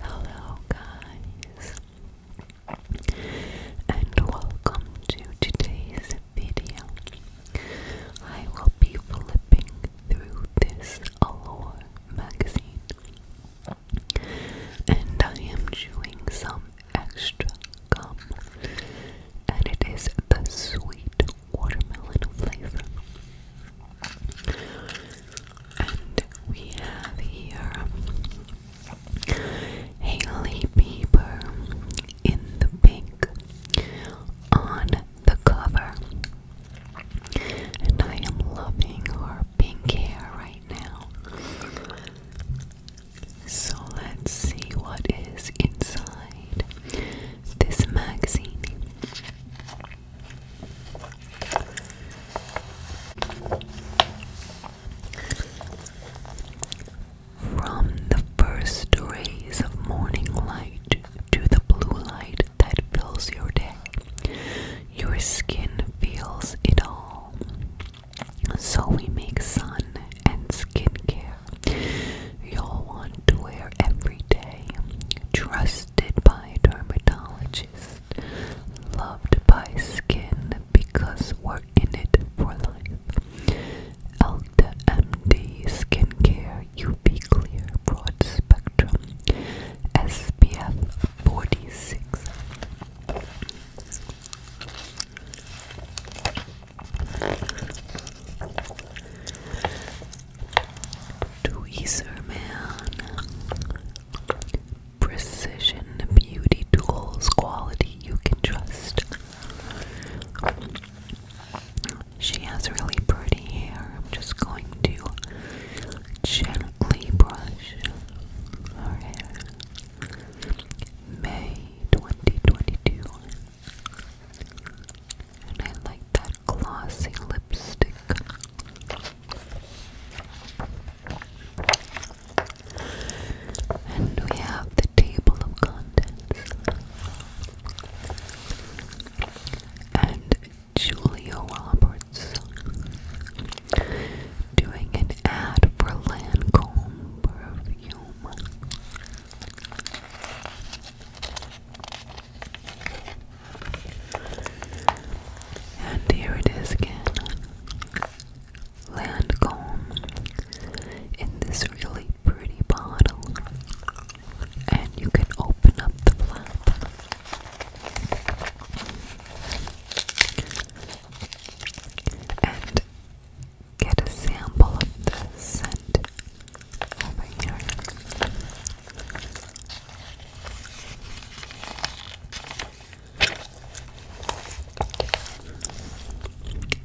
Hello, guys, and welcome to today's video. I will be flipping through this Allure magazine, and I am chewing some extra gum, and it is the sweet watermelon flavor. And we have here Haley Bieber in the pink on the cover. And I am loving her pink hair right now. So let's see what is inside this magazine. From the first rays of morning light to the blue light that fills your day, your skin feels it all. So we make sun and skincare you'll want to wear every day. Trust trusted by dermatologists, loved by skin because we're in it for life. Elta MD Skincare UV Clear Broad Spectrum SPF 46. Tweezer Man. Precision beauty tools, quality you can trust. She has really pretty hair. I'm just going to gently brush her hair. May 2022. And I like that glossy lipstick. And we have the table of contents. And Julia Roberts doing an ad for Lancome perfume. And here it is again. Lancome in this really pretty bottle. And you can open up the flap. And get a sample of the scent over here.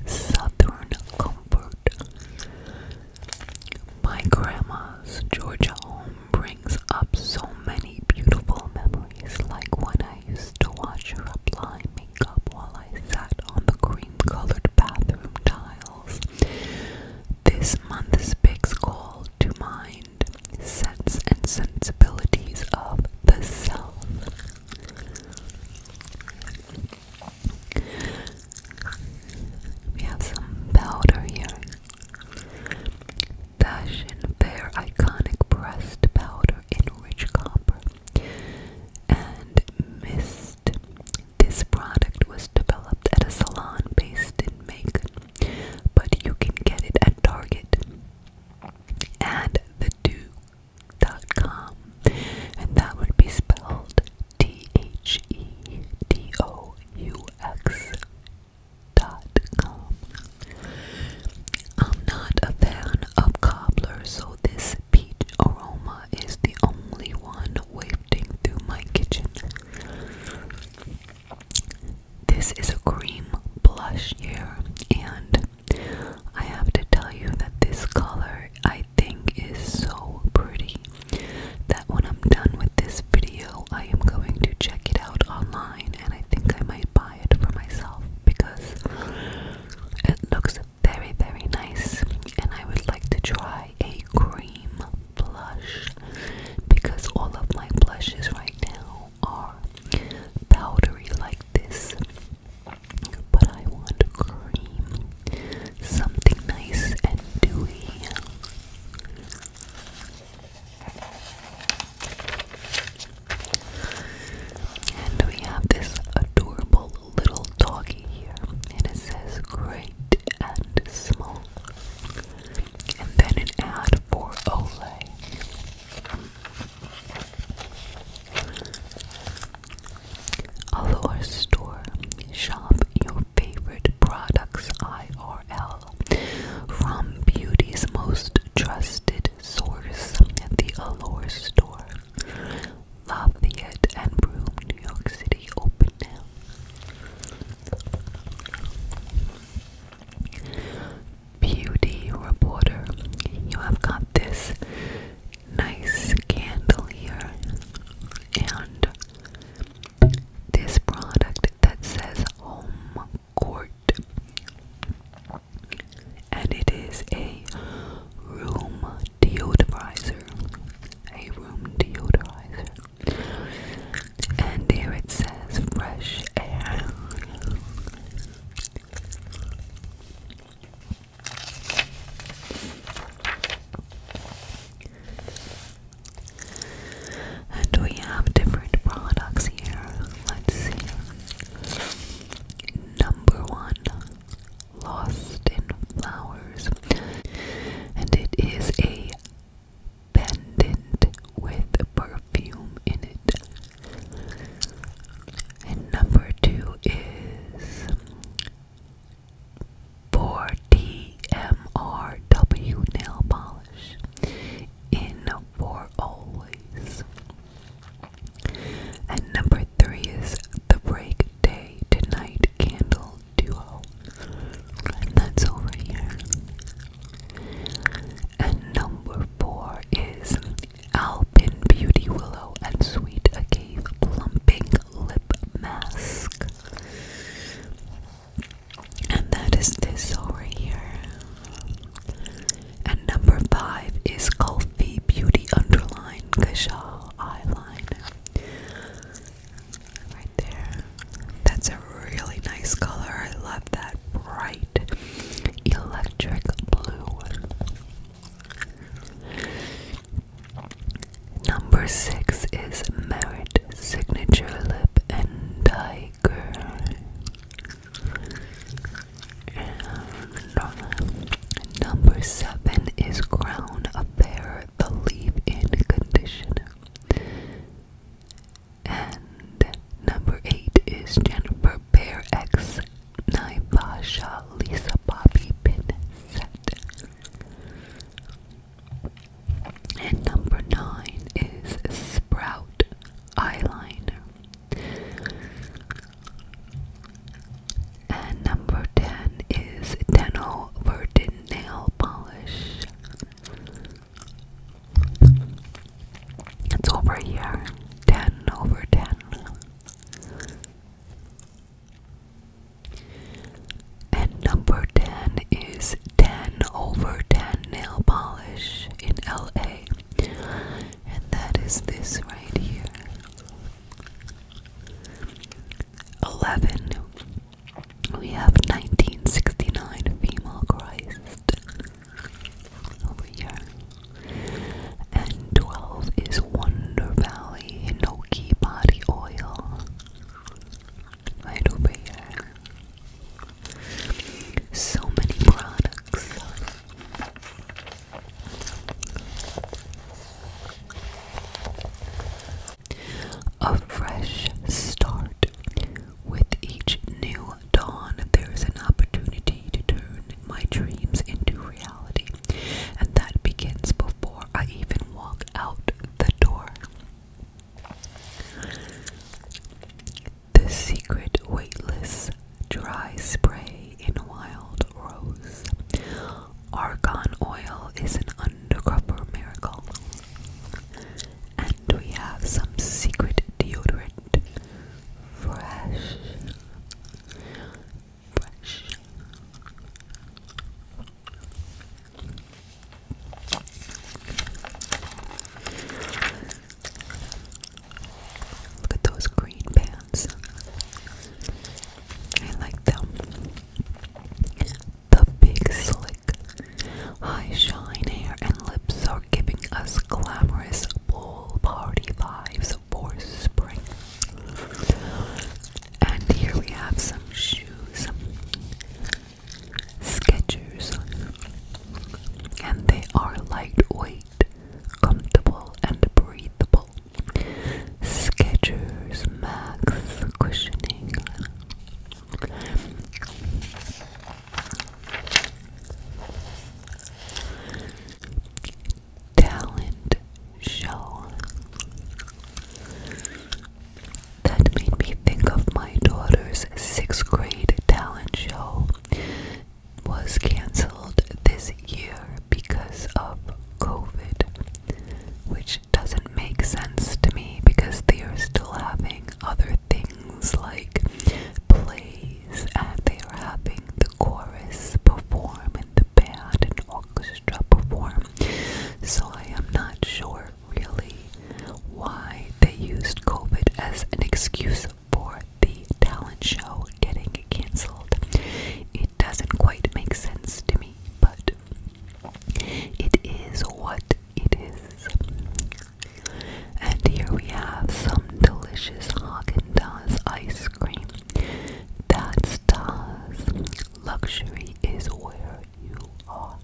Southern Comfort. My grandma's Georgia home brings up so many beautiful memories, like when I used to watch her apply makeup while I sat on the cream colored bathroom tiles. This month's picks call to mind sense and sensibilities of the self. We have some powder here. Fashion Fair Iconic Pressed Powder in Rich Copper and Mist this product was developed at a salon based in Macon, but you can get it at Target and the do.com, and that would be spelled T H E D O U X dot com. I'm not a fan of cobbler, so this peach aroma is the only one wafting through my kitchen. This is a cream blush here, and I have to tell you that this color I think is so pretty that when I'm done with this video, I am going to check it out online and I think I might buy it for myself because it looks very, very nice, and I would like to try a cream blush because all of my blushes right now are powdery like this. But I want cream, something nice and dewy. And we have this adorable little doggy here, it says great and small and then an ad for Olay. Allure Store. Shop your favorite products IRL from beauty's most trusted source at the Allure Store. Lafayette and Broome, New York City open now. Beauty reporter, you have got this nice candle here and this product that says home court and it is a room deodorizer a room deodorizer and here it says fresh air. And we have different products here. Let's see. Number one, Lost in Flower and it is a pendant with perfume in it. And number two is 4DMRW nail polish in for always. And number three is the break day tonight candle duo, and that's over here. And number four is Alpin Beauty Willow and Sweet A Cave Plumping Lip Mask. And that is this over here. And number five is Coffee Beauty Underline Kajal Eyeliner. Right there. That's a really nice color. I love that bright electric blue. Number six is Merit Signature Lip and Tiger. Uh, number seven is Crown Affair believe in conditioner. And number eight is Jennifer Bear X Naivasha Lisa Bobby Pin Set. And number nine is Sprout Eyeliner. And number 10 is Deno Nail polish. It's over here. Ten over ten. And number 10 is 10 over 10 nail polish in LA. And that is this right here. 11 we have 1969 female Christ over here. And 12 is Wonder Valley Hinoki Body Oil. Right over here. So many products. A fresh start. With each new dawn, there is an opportunity to turn my dreams into reality, and that begins before I even walk out the door. The secret weightless dry spray in wild rose. Argon oil is an undercover miracle. And we have some secret deodorant. Fresh. Fresh. Look at those green pants. I like them. The big slick, high shine hair and lips are giving us glamorous ball party vibes for spring. And here we have some shoes, Skechers, and they are lightweight, comfortable, and breathable. Skechers Max Cushioning. Talent show. That made me think of my daughter's sixth grade talent show was cancelled this year because of COVID, which doesn't make sense to me because they are still having other things like plays and they are having the chorus perform and the band and orchestra perform. So I am not sure really why they used COVID as an excuse for the talent show getting cancelled. It doesn't quite make sense to me, but it is what it is. And here we have some delicious haagen ice cream. That's Daz. Luxury is where you are.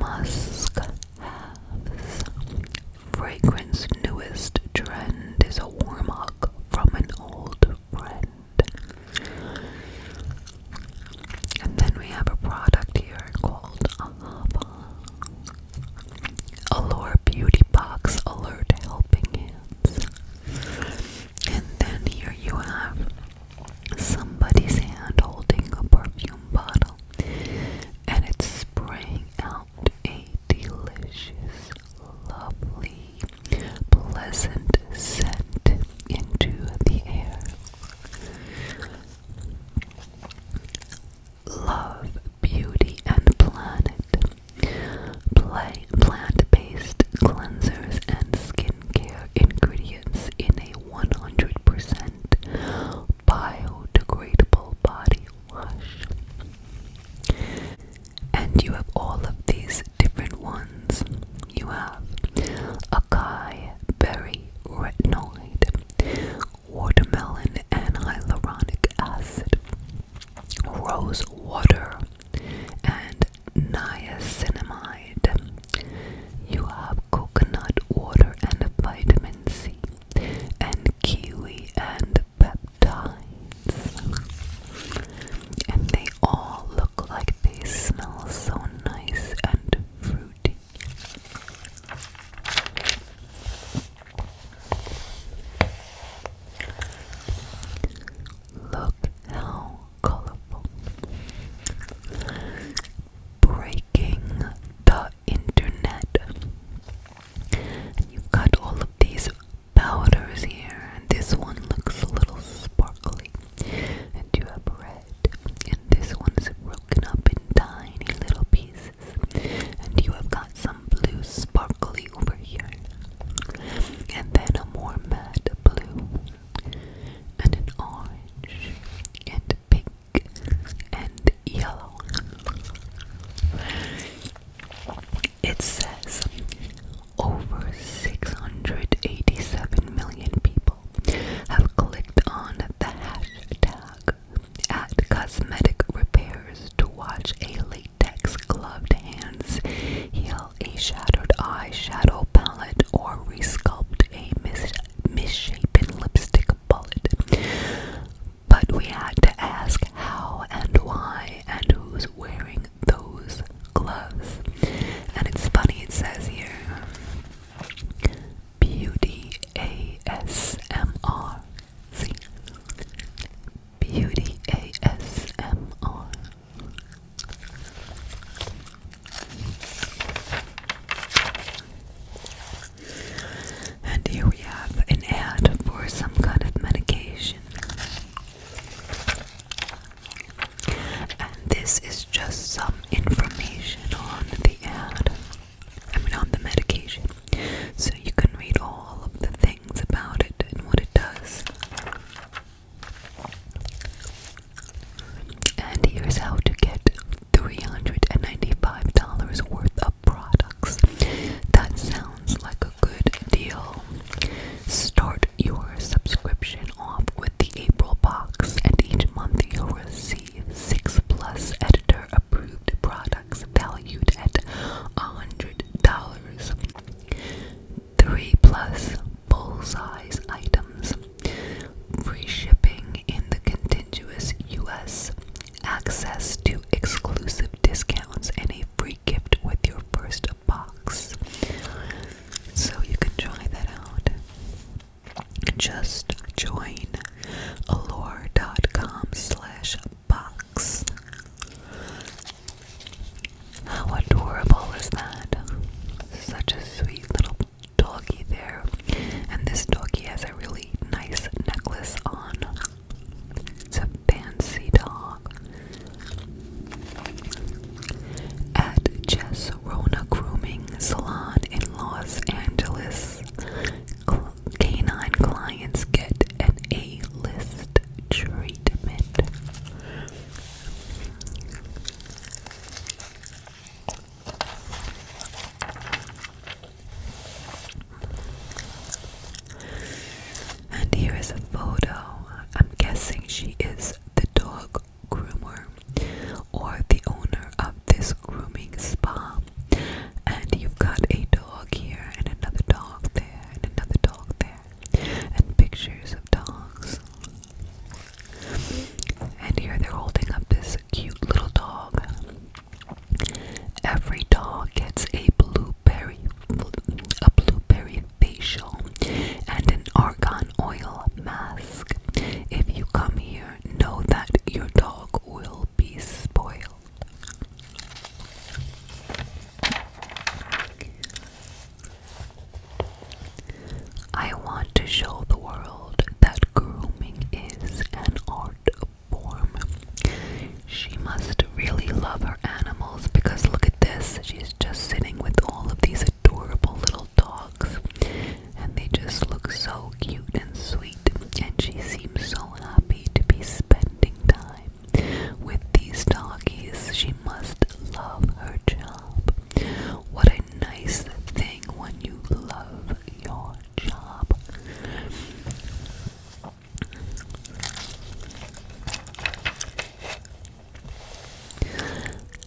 Musk has fragrance newest trend is a warm hug from an old friend. And then we have a product here called Ahava. Allure Beauty Box Alert Helping Hands. And then here you have somebody's hand holding a perfume bottle and it's spraying out a delicious, lovely, pleasant scent into the air. Love, beauty, and planet. Play plant-based cleansers and skincare ingredients in a 100% biodegradable body wash. And you have all of these different ones. You have acai berry retinoid, watermelon and hyaluronic acid, rose water, and niacinamide. You have coconut water and vitamin C, and kiwi and peptides. And they all look like they smell so nice and fruity. Look how colorful. Breaking the internet. And you've got all of these powders here, and this one looks a little sparkly. And you have red, and this one's broken up in tiny little pieces. And you have got some blue sparkly over here, and then a more matte blue, and an orange, and pink, and yellow. It says over 687 million people have clicked on the hashtag at cosmetic repairs to watch a latex gloved hands heal a shattered eye shadow palette or resculpt a misshapen lipstick a But we had to ask how and why and who's wearing those gloves. And it's funny, it says here Beauty ASMR. Beauty ASMR. And here we have an ad for some kind of medication. And this is just some information on the ad. I mean, on the medication. So you can read all of the things about it and what it does. And here's how to get $395 worth of products. That sounds like a good deal. Start your subscription off with the April box, and each month you'll receive six plus editor approved products valued at $100. Three plus full size items free shipping in the contiguous US, access to exclusive discounts, and a free gift with your first box. So you can try that out. Just join allure.com slash box. How adorable is that? Such a sweet little doggy there, and this doggy has a really nice necklace on. It's a fancy dog. At Jess Rona Grooming Salon in Los Angeles, canine clients get an A list treatment. And here is a photo. I'm guessing she is the dog groomer or the owner of this grooming spa. And you've got a dog here, and another dog there, and another dog there, and pictures of dogs. And here they're holding up this cute little dog. Every dog gets a blueberry, a blueberry facial, and an argan oil mask. If you come here, know that your dog will be spoiled. I want to show the world that grooming is an art short form. She must really love her animals because look at this. She's just sitting with all of these adorable little dogs. And they just look so cute and sweet. And she seems so happy to be spending time with these doggies. She must love her job. What a nice thing when you love your job.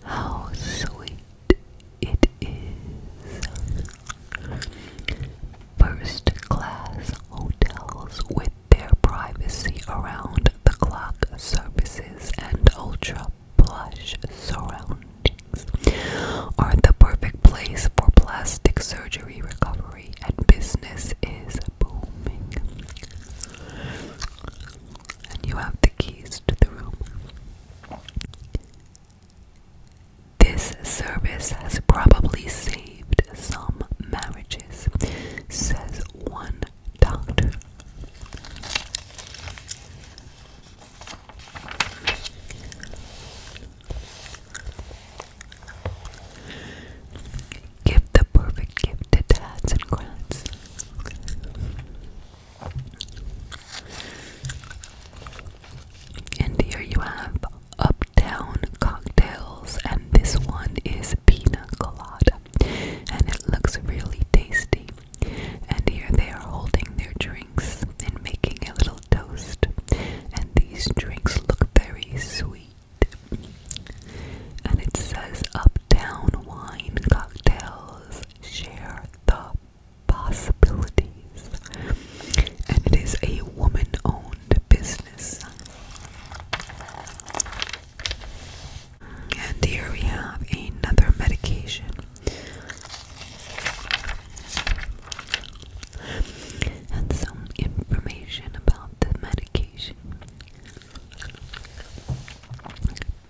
How sweet it is. First class hotels with their privacy around the clock services and ultra plush surroundings are the perfect place for plastic surgery recovery, and business is booming. And you have the keys to the room. This service has probably saved some marriages, says one doctor. Give the perfect gift to dads and grants. And here you have Uptown Cocktails, and this one is Pina Colada, and it looks really tasty. And here they are holding their drinks and making a little toast, and these drinks look very sweet. And it says Uptown Wine Cocktails Share the Possibilities. And it is a woman owned business. And here we have another medication and some information about the medication.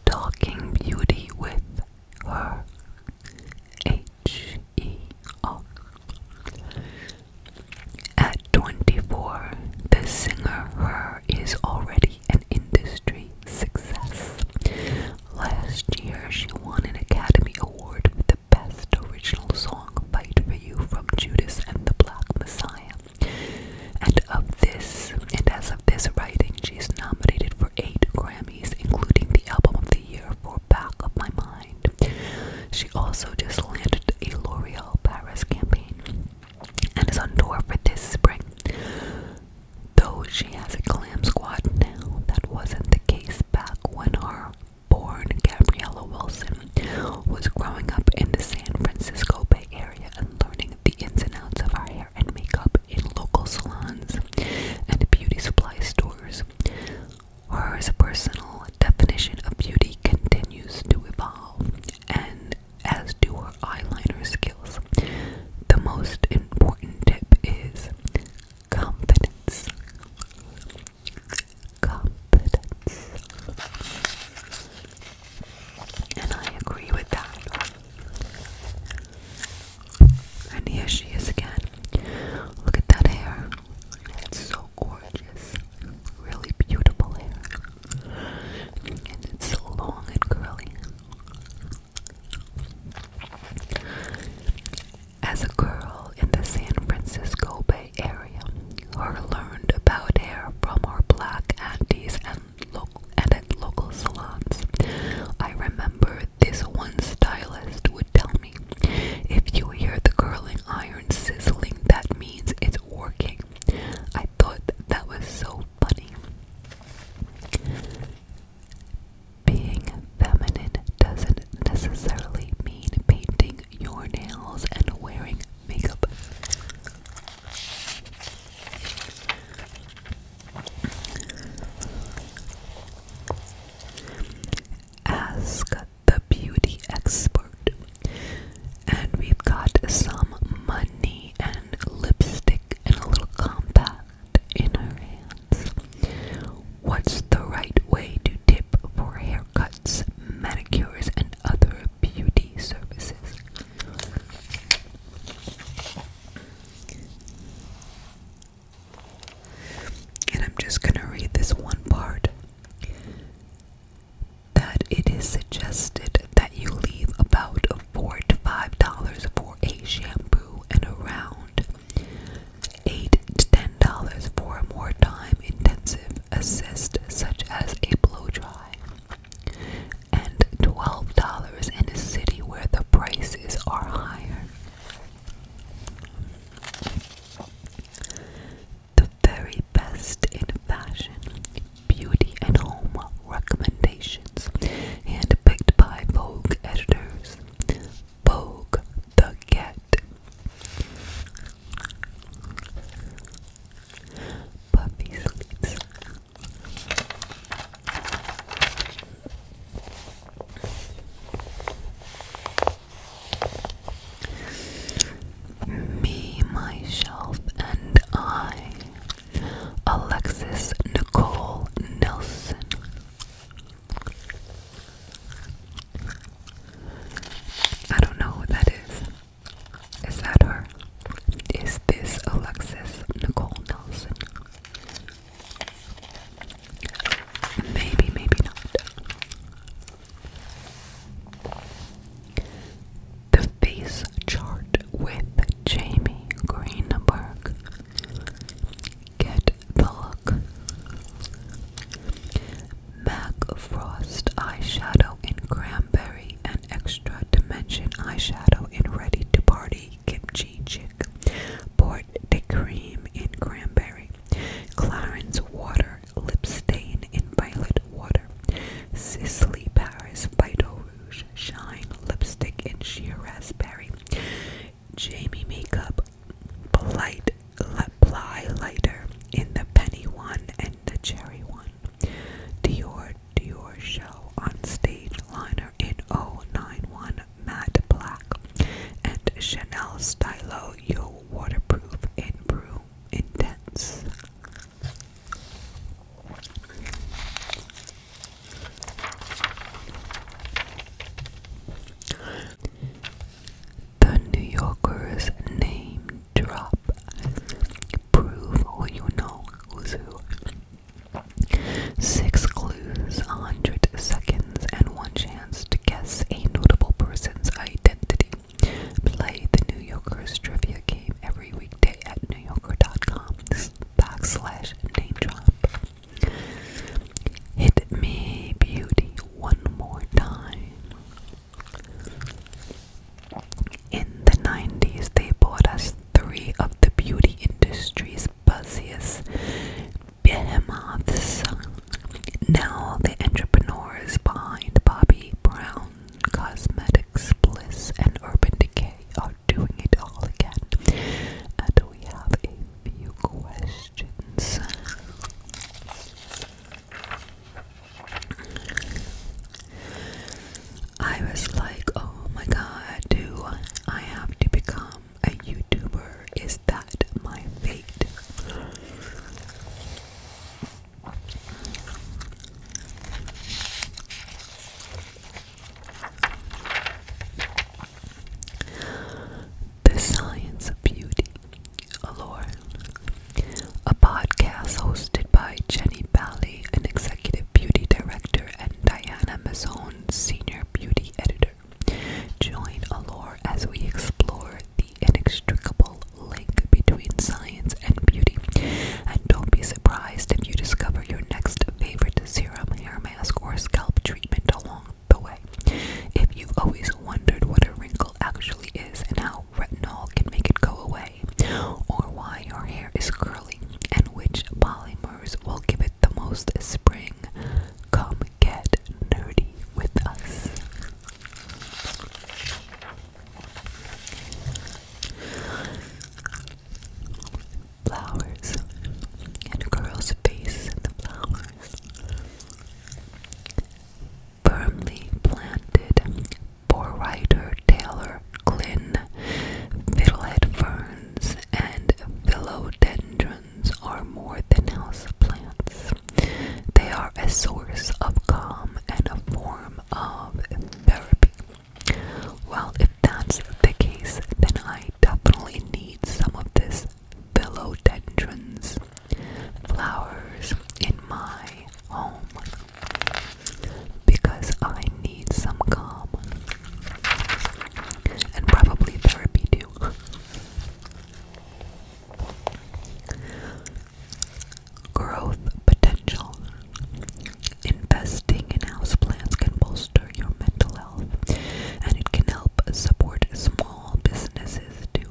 Talking Beauty with her H E O. At 24, the singer her is already an industry success Last year, she won an Academy Award for the Best Original Song Fight for You from Judas and the Black Messiah. And of this, and as of this writing, she's nominated for eight Grammys, including the Album of the Year for Back of My Mind. She also just landed a L'Oreal Paris campaign and is on tour for this spring. Though she has a glam squad now, that wasn't the case back when our born Gabriella Wilson was growing up in the San Francisco Bay Area and learning the ins and outs of our hair and makeup in local salons and beauty supply stores. Her personal definition of beauty continues to evolve, and as do her eyeliner skills. The most important tip is confidence, confidence, and I agree with that. And here she is again. Look at that hair. It's so gorgeous. Really beautiful hair. And it's long and curly. As a girl in the San Francisco Bay Area, her learned about hair from her black aunties and, local, and at local salons. I remember this one stylist would tell me, if you hear the curling iron sizzling, that means it's working. I thought that was so funny. Being feminine doesn't necessarily mean painting your nails and wearing makeup. Ask the beauty expert. And we've got some money and lipstick and a little compact. What's the right way to tip for haircuts, manicures, and other beauty services? And I'm just going to read this one part that it is suggested that you leave about 4 to 5 dollars for a shampoo and a round. 8 to $10 for a more time intensive assist, such as a blow dry, and $12 in a city where the prices are higher. The very best in fashion, beauty, and home recommendations, handpicked by Vogue editors, Bogue the Cat. Puppy sleeps. Me, myself, and I. Alexis Nicole Nelson. I don't know who that is. Is that her? Is this Alexis Nicole Nelson? Maybe, maybe not. The face chart with Jamie Greenberg. Get the look. MAC Frost eyeshadow in cranberry and extra dimension eyeshadow in ready to party kimchi chick. Port de cream in cranberry. Clarence water lip in violet water. Sisley Paris Vital Rouge Shine Lipstick in Sheer Raspberry. Jamie Makeup Polite Ply Lighter in the Penny one and the Cherry one. Dior Dior Show on Stage Liner in 091 Matte Black. And Chanel Stylo Yo Waterproof in Broom Intense. The New Yorker's name drop. Prove all you know who's who. Six clues, hundred seconds, and one chance to guess a notable person's identity. Play the New Yorker's trivia game every weekday at newyorker.com backslash name drop. Hit me, beauty, one more time. In the 90s, they bought us three of the beauty industry's buzziest behemoths. Now, the entrepreneurs behind Bobby Brown, Cosmetics, Bliss, and Urban Decay are doing it all again. And we have a few questions. I was like, oh my god, do I have to become a YouTuber? Is that my fate? The Science of Beauty, Allure, a podcast hosted by Jenny Bally, an executive beauty director, and Diana Mazzone, senior beauty editor. Join Allure as we explore the inextricable link between science and beauty. And don't be surprised if you discover your next favorite serum, hair mask, or scalp treatment along the way. If you've always wondered what a wrinkle actually is and how retinol can make it go away, or why your hair is curly and which polymers will give it the most spring, come get nerdy with us flowers and girl's faces in the flowers. Firmly planted for writer Taylor Glynn, fiddlehead ferns and philodendrons are more than house They are a source of calm and a form of therapy. Well, if that's the case, then I I definitely need some of this philodendrons flowers in my home because I need some calm and probably therapy too. Growth potential. Investing in houseplants can bolster bolster your mental health, and it can help support small businesses too.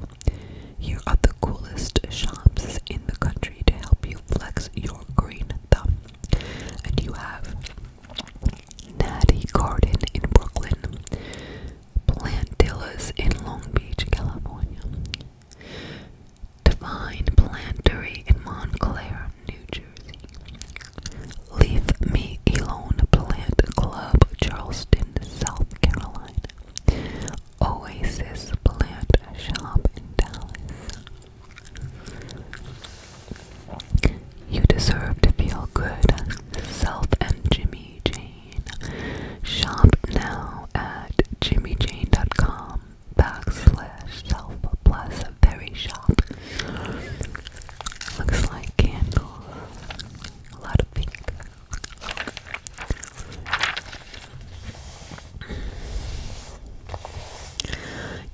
Here are the coolest shops in the country to help you flex your green thumb. And you have Natty Garden in Brooklyn, Plantillas in Long Beach, California, Divine Plantery in Montclair, New Jersey, Leave Me Alone Plant Club, Charleston, South Carolina. Oasis Plant Shop in Dallas. You Deserve to Feel Good, Self and Jimmy Jane. Shop now at jimmyjane.com backslash self plus very shop. Looks like candles. A lot of pink.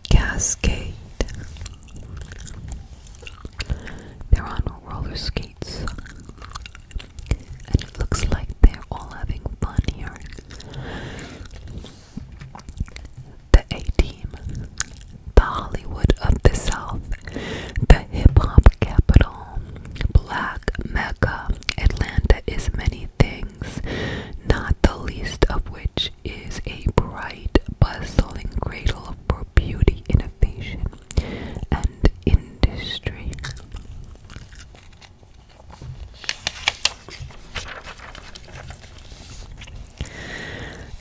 Cascade. They're on roller skates. And it looks like they're all having fun here. The A team the Hollywood of the South, the hip hop capital, black Mecca. Atlanta is many things, not the least of which is a bright, bustling cradle for beauty, innovation, and industry.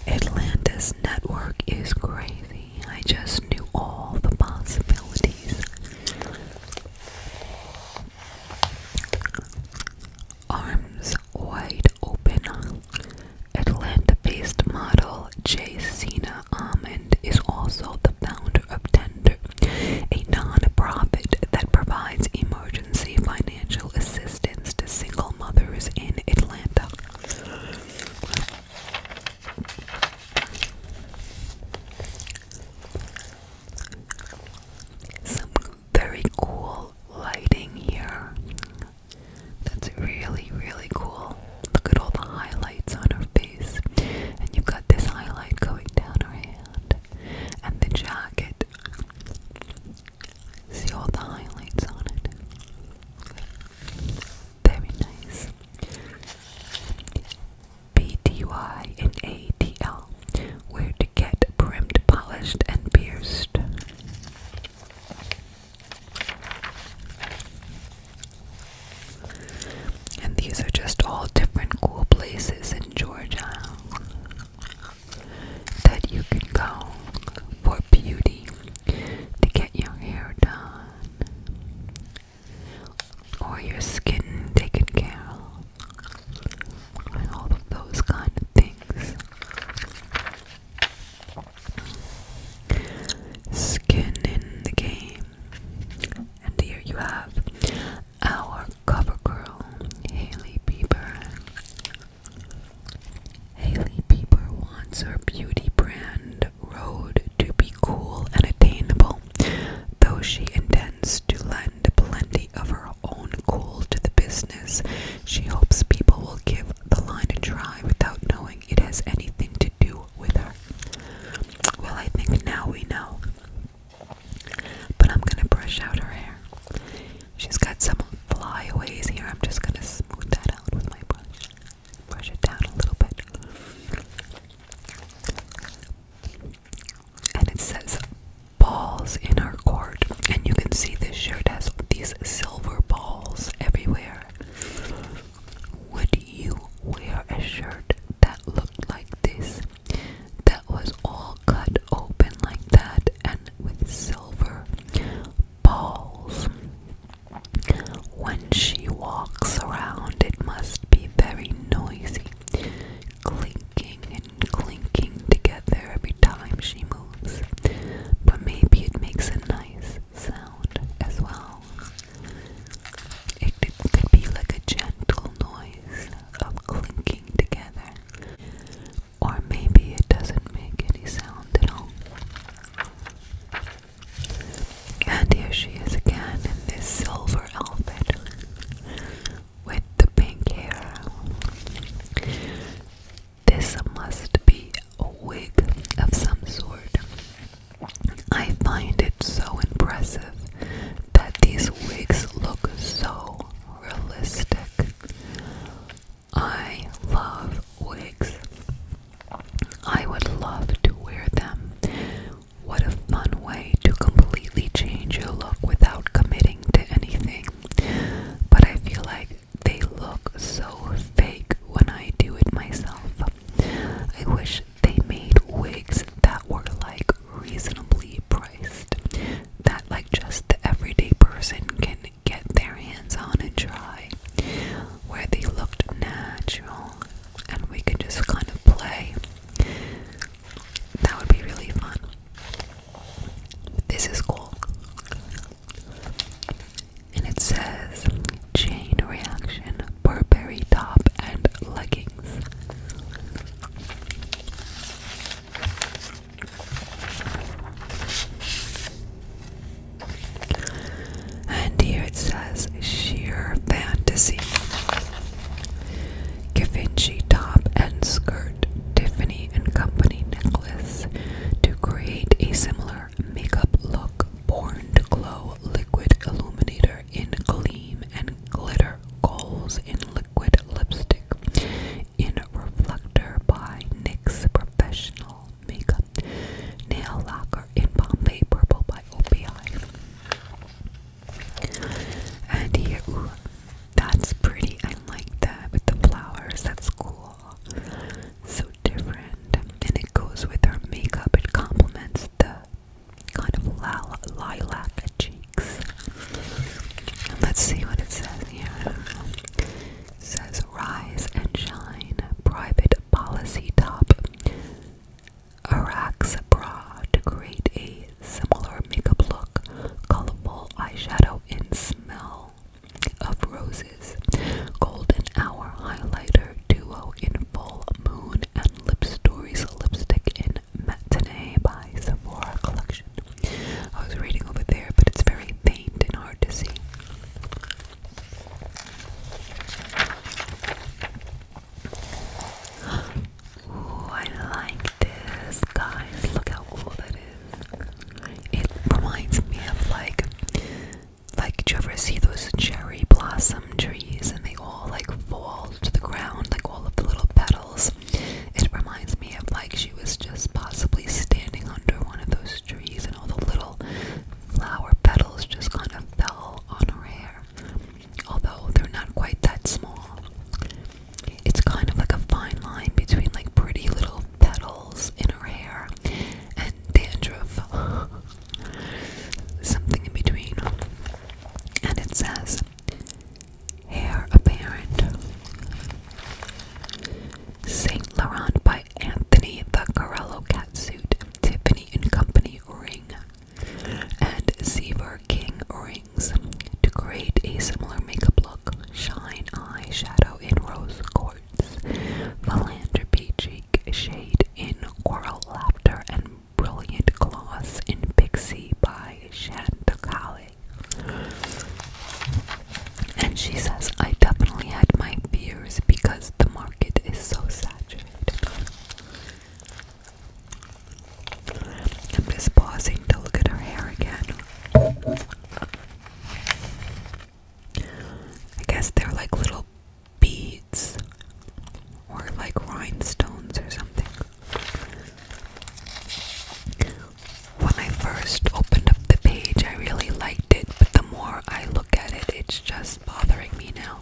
Atlanta's network is crazy. I just knew all the possibilities. Arms wide open. Atlanta based model Jay Cena Almond is also the founder of Tender, a non profit that provides emergency financial assistance to single mothers in Atlanta. Some very cool lighting here. That's really, really cool. Look at all the highlights on her face. And you've got this highlight going down her hand. And the jacket see all the highlights on it. Very nice. BTY Where to get brimmed, polished, and pierced. And these are just all different cool places in Georgia that you can go for beauty to get your hair done or your skin taken care of and all of those kind of things. Skin in the game. And here you have our cover girl, Haley Bieber. Hailey Bieber wants her beauty brand road to be cool and attainable, though she intends to lend plenty of her own cool to the business. She hopes people will give the line a try without knowing it has anything to do with her. Well, I think now we know. But I'm gonna brush out her hair. She's got some flyaways here. I'm just gonna smooth that out with my brush. Brush it down a little bit. And it says balls in our court. And you can see this shirt has these silver balls everywhere. Would you wear a shirt that looked like this? That was all cut open like that and with silver balls. When she walks around, it must be very noisy, clinking and clinking together every time she moves. But maybe it makes a nice sound as well. It could be like a gentle noise of clinking together. Or maybe it doesn't make any sound at all. And here she is again in this silver outfit with the pink hair. This must be a wig of some sort. I find it so impressive that these wigs look so realistic. I love wigs. I would love to wear them. What a fun way to completely change your look without committing to anything. But I feel like they look so fake when I do it myself. I wish they made wigs that were like reasonably priced, that like just the everyday person can get their hands on and try, where they looked natural and we can just kind of play. That would be really fun. This is cool. And it says chain reaction, Burberry top, and leggings. And here it says sheer fantasy. Givenchy top and skirt, Tiffany and Company necklace to create a similar makeup look. Born glow liquid illuminator in gleam and glitter goals in liquid lipstick in reflector by NYX Professional nail makeup nail lacquer in Bombay Purple by OPI. And here, ooh, that's pretty. I like that with the flowers. That's cool. So different. And it goes with her makeup. It complements the kind of lila lilac cheeks. And let's see what it says here. It says Rise and Shine, Private Policy Top, Arax Bra to create a similar makeup look, colorful eyeshadow in smell of roses, Golden Hour Highlighter Duo in Full Moon, and Lip Stories Lipstick in Matinee by Sephora Collection. I was reading over there, but it's very faint and hard to see. Ooh, I like this, guys. Look how cool that is. It reminds me of like, like, do you ever see those cherry blossom trees and they all like fall to the ground, like all of the little petals? It reminds me of like she was just possibly standing under one of those trees and all the little flower petals just kind of fell on her hair. Although they're not quite that small. It's kind of like a fine line between like pretty little petals in her hair and dandruff. Something in between. And it says, Hair apparent. Saint Laurent by Anthony the cat suit, Tiffany and Company ring, and Zebra King rings to create a similar makeup look. Shine eyeshadow in rose quartz, philanthropy cheek shade in coral laughter, and brilliant gloss in Pixie by Shantakali. And she says, I definitely had my fears because the market is so saturated. I'm just pausing to look at her hair again. I guess they're like little beads or like rhinestones or something. When I first opened up the page, I really liked it, but the more I look at it, it's just bothering me now.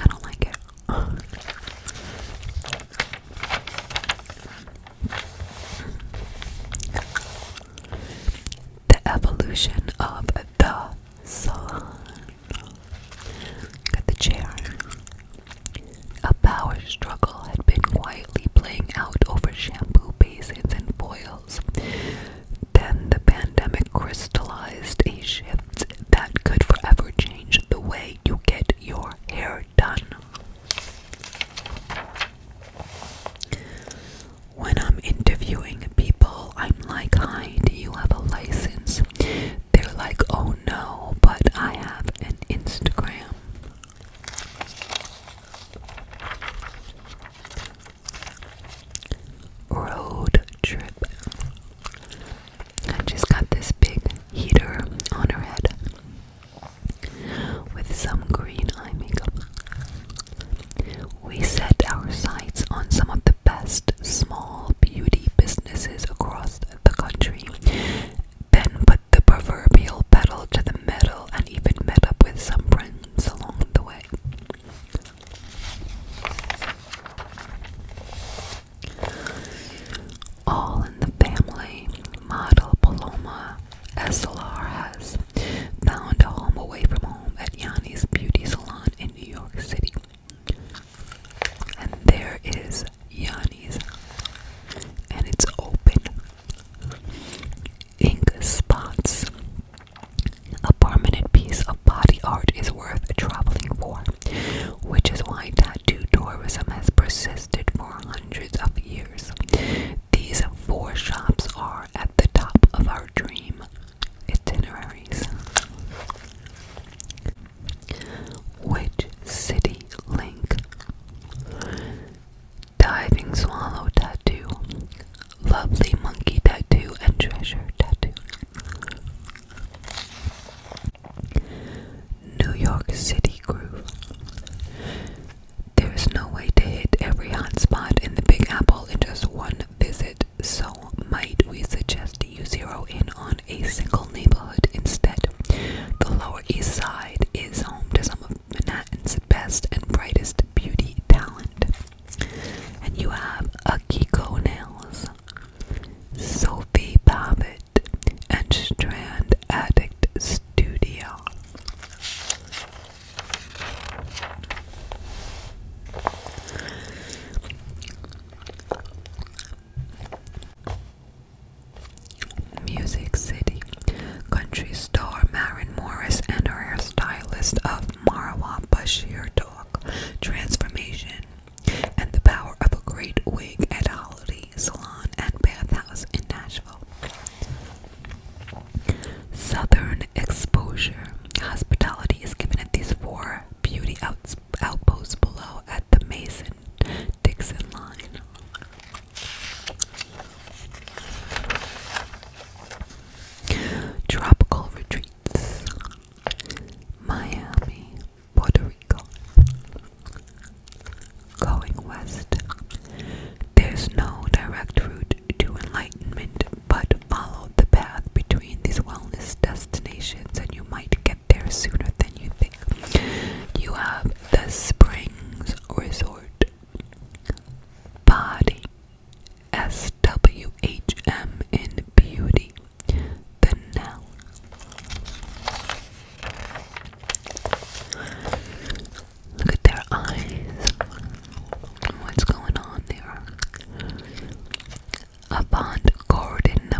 I don't like it. The evolution of the salon. Got the chair. A power struggle had been quietly playing out over shampoo basins and foils. Then the pandemic crystallized a shift that could forever change the way you get your hair done. When I'm interviewing people, I'm like, Hi, do you have a license? They're like, Oh no, but I have an Instagram. Road trip. she's got this big heater on her head with some green eye makeup. We set our sights on some of the best small beauty businesses across the country, then put the proverbial pedal to the metal and and even met up with some friends along the way. All in the family, model Paloma SLR has found a home away from home at Yanni's Beauty Salon in New York City. And there is Yanni's, and it's open ink spots. A permanent piece of body art is worth traveling for, which is why tattoo tourism has persisted for hundreds of years. These four shops are at the top of our dream itineraries. Which city link? diving swallow tattoo, lovely monkey tattoo, and treasure tattoo. New York City groove. There is no way to hit every hot spot in the Big Apple in just one visit, so might we suggest you zero in on a single neighborhood instead? The Lower East Side is home to some of Manhattan's Manhattan's best and brightest beauty talent. And you have Akiko Nails, Sophie Babbitt, and Strand Addict Studio. Music City. Country star Maren Morris and her hairstylist of Marwa Bashir talk transformation and the power of a great wig at Holiday Salon and Bathhouse in Nashville. Southern exposure. Hospitality is given at these four beauty outposts below at the Mason Dixon line. Tropical retreats. Miami, Puerto Rico. Going west. There's no direct route to enlightenment, but follow the path between these wellness destinations and you might get there sooner than you think. You have the Springs Resort. Body SWHM in beauty. The noun. Look at their eyes. What's going on there? Avant Gordon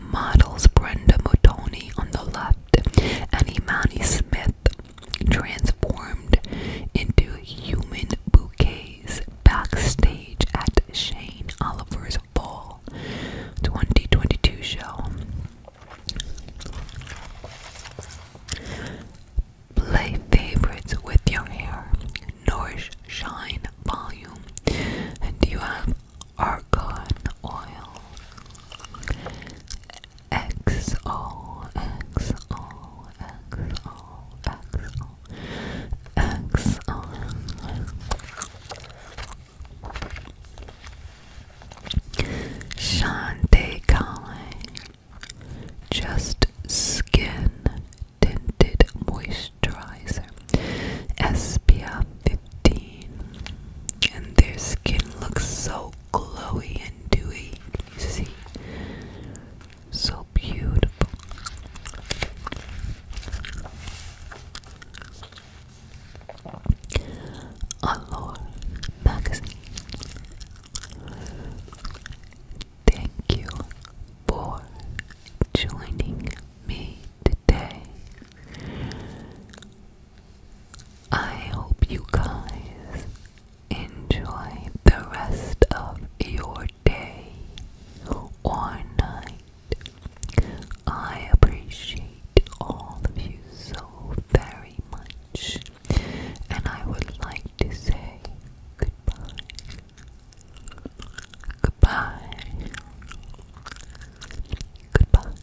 models Brenda Motoni on the left and Imani Smith transformed into human bouquets backstage at Shane Oliver's Fall 2022 show. Play favorites with your hair. Nourish Shine Volume. And you have Argan Oil. XO, XO, XO, XO, XO. Shante Kai. Just Skin Tinted Moisturizer SPF 15. And their skin looks so glowy and dewy. You see? So beautiful. Allure Magazine. Thank you for joining me today. I hope you guys enjoy the rest of your day or night. I appreciate all of you so very much, and I would like to say goodbye. Goodbye. Goodbye.